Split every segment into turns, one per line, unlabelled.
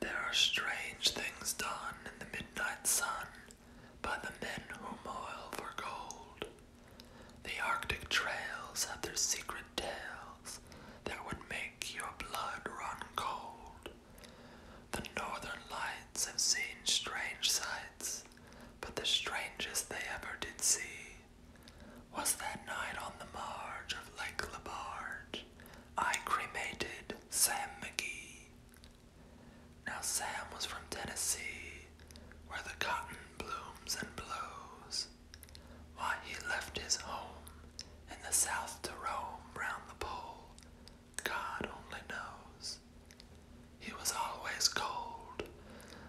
There are strange things done in the midnight sun by the men who moil for gold. The Arctic trails have their secret tales that would make your blood run cold. The northern lights have seen strange sights, but the strangest they ever did see was that night on the marge of Lake Labarge. I cremated Sam McGee. Now, Sam was from Tennessee, where the cotton blooms and blows. Why, he left his home in the south to roam round the pole, God only knows. He was always cold,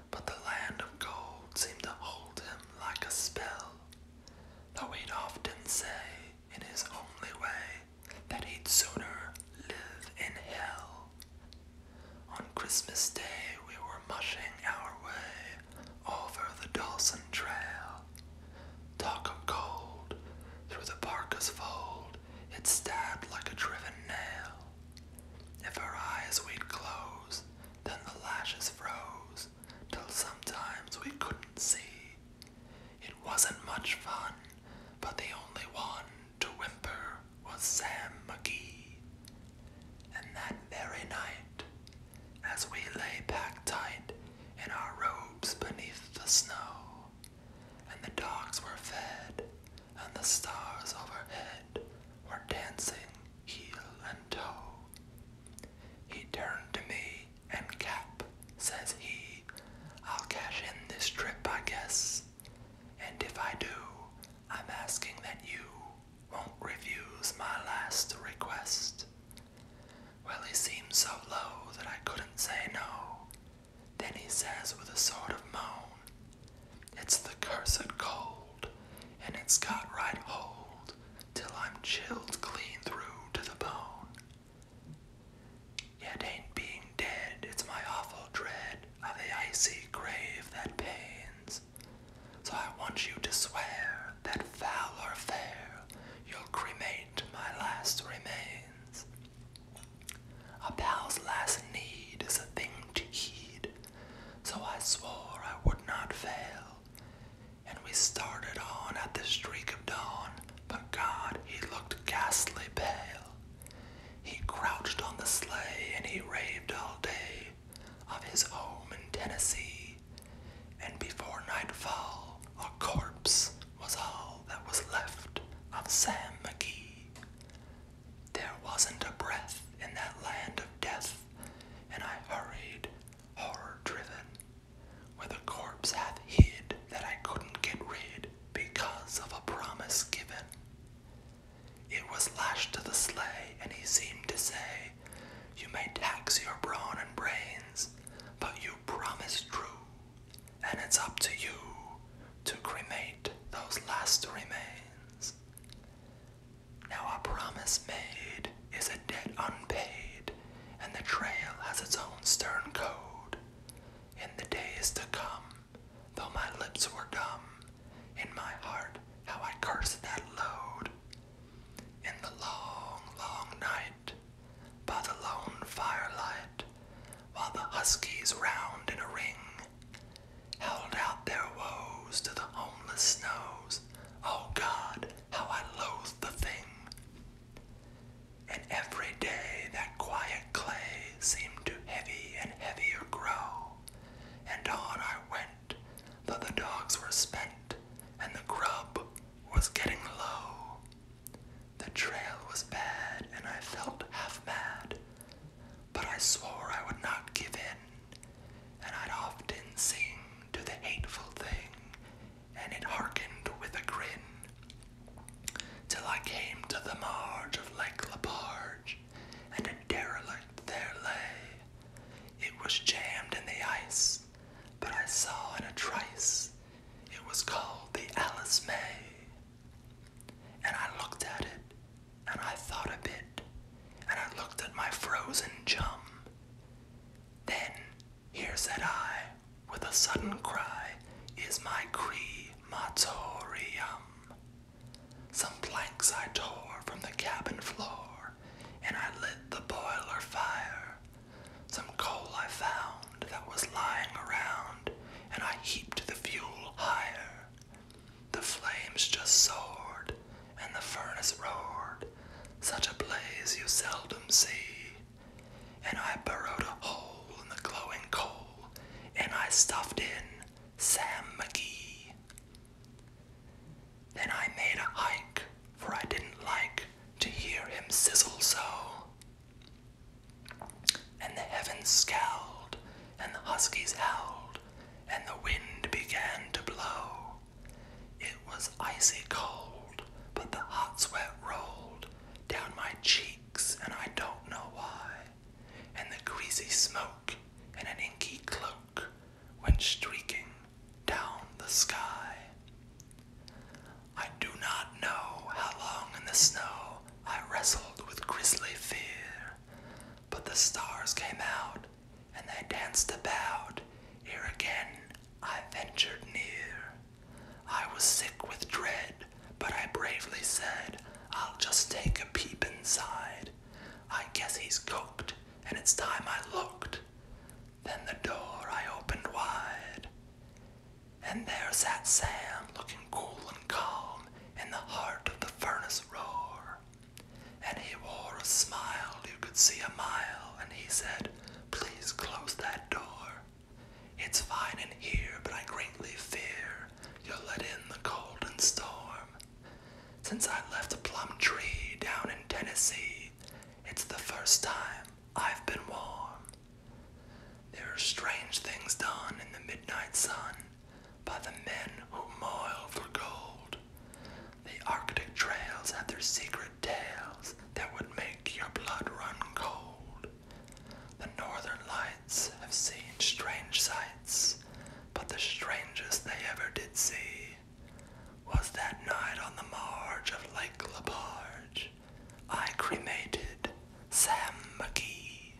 but the land of gold seemed to hold him like a spell though he'd often say in his only way that he'd sooner live in hell. On Christmas Day, we were mushing our way over the Dawson Trail. Talk of cold, through the parka's fold, it stabbed like a driven nail. If our eyes we'd close, then the lashes froze, till sometimes we couldn't see. It wasn't much fun, but the only one to whimper was Sam McGee. And that very night, as we lay packed tight in our robes beneath the snow, and the dogs were fed, and the stars overhead were dancing heel and toe, he turned to me and Cap, says he, I'll cash in this trip, I guess. And if I do, I'm asking that you won't refuse my last request. Well, he seemed so low that I couldn't say no. Then he says with a sort of moan, It's the cursed cold, and it's got right hold till I'm chilled clean through to the bone. Yet ain't being dead, it's my awful dread of the icy grave that pains. So I want you to swear that foul or fair, you'll cremate my last remains. A pal's last need is a thing to heed, so I swore I would not fail and we started on at the streak of dawn, but God, he looked ghastly pale. He crouched on the sleigh and he raved all day of his home in Tennessee, and before nightfall, a corpse was all that was left of Sam McGee. There wasn't a breath in that land of death, and I hurried, horror driven, where the corpse hath hid that I couldn't get rid because of a promise given. It was lashed to the sleigh, and he seemed to say, You may tax your brawn and brains, but you promise true, and it's up to you to cremate those last remains. Now a promise made is a debt unpaid, and the trail has its own stern code. In the days to come, though my lips were dumb, in my heart how I cursed that load. In the long, long night, by the lone firelight, while the huskies round in a ring held out their woes to the homeless snows. Oh God, how I loathed the thing. And every day that quiet clay seemed to heavy and heavier grow. And on I went, though the dogs were spent, and the grub was getting low. The trail was bad, and I felt half mad, but I swore I would not give in, and I'd often sing to the hateful thing, and it hearkened with a grin. Till I came to the marge of Lake La Leparge, and a derelict there lay. It was jammed in the ice, but I saw in a trice it was called the Alice May. And I looked at it, and I thought a bit, and I looked at my frozen chum, then here said I, with a sudden cry, is my crematorium. Some planks I tore from the cabin floor, and I lit the boiler fire. Some coal I found that was lying around, and I heaped the fuel higher. The flames just soared, and the furnace roared, such a blaze you seldom see. And I burrowed a hole in the glowing coal, and I stuffed in Sam McGee. Then I made a hike, for I didn't like to hear him sizzle so. And the heavens scowled, and the huskies howled, and the wind began to blow. It was icy cold, but the hot sweat rolled down my cheeks, and I don't know why. And the greasy smoke and an inky cloak went streaking down the sky. I do not know how long in the snow I wrestled with grisly fear, but the stars came out and they danced about. Here again I ventured near. I was sick with dread, but I bravely said, I'll just take a peep inside. I guess he's cooked, and it's time I looked. Then the door I opened wide, and there sat Sam, looking cool and calm in the heart of the furnace roar. And he wore a smile you could see a mile, and he said, Please close that door. It's fine in here, but I greatly fear you'll let in the cold and storm. Since I left a Plum Tree down in Tennessee, it's the first time I've been warm. There are strange things done in the midnight sun by the men who moil for gold. The Arctic trails had their secret tales that would make your blood run cold. The northern lights have seen strange sights, but the strangest they ever did see was that night on the marge of Lake Labarge. I cremated Sam McGee.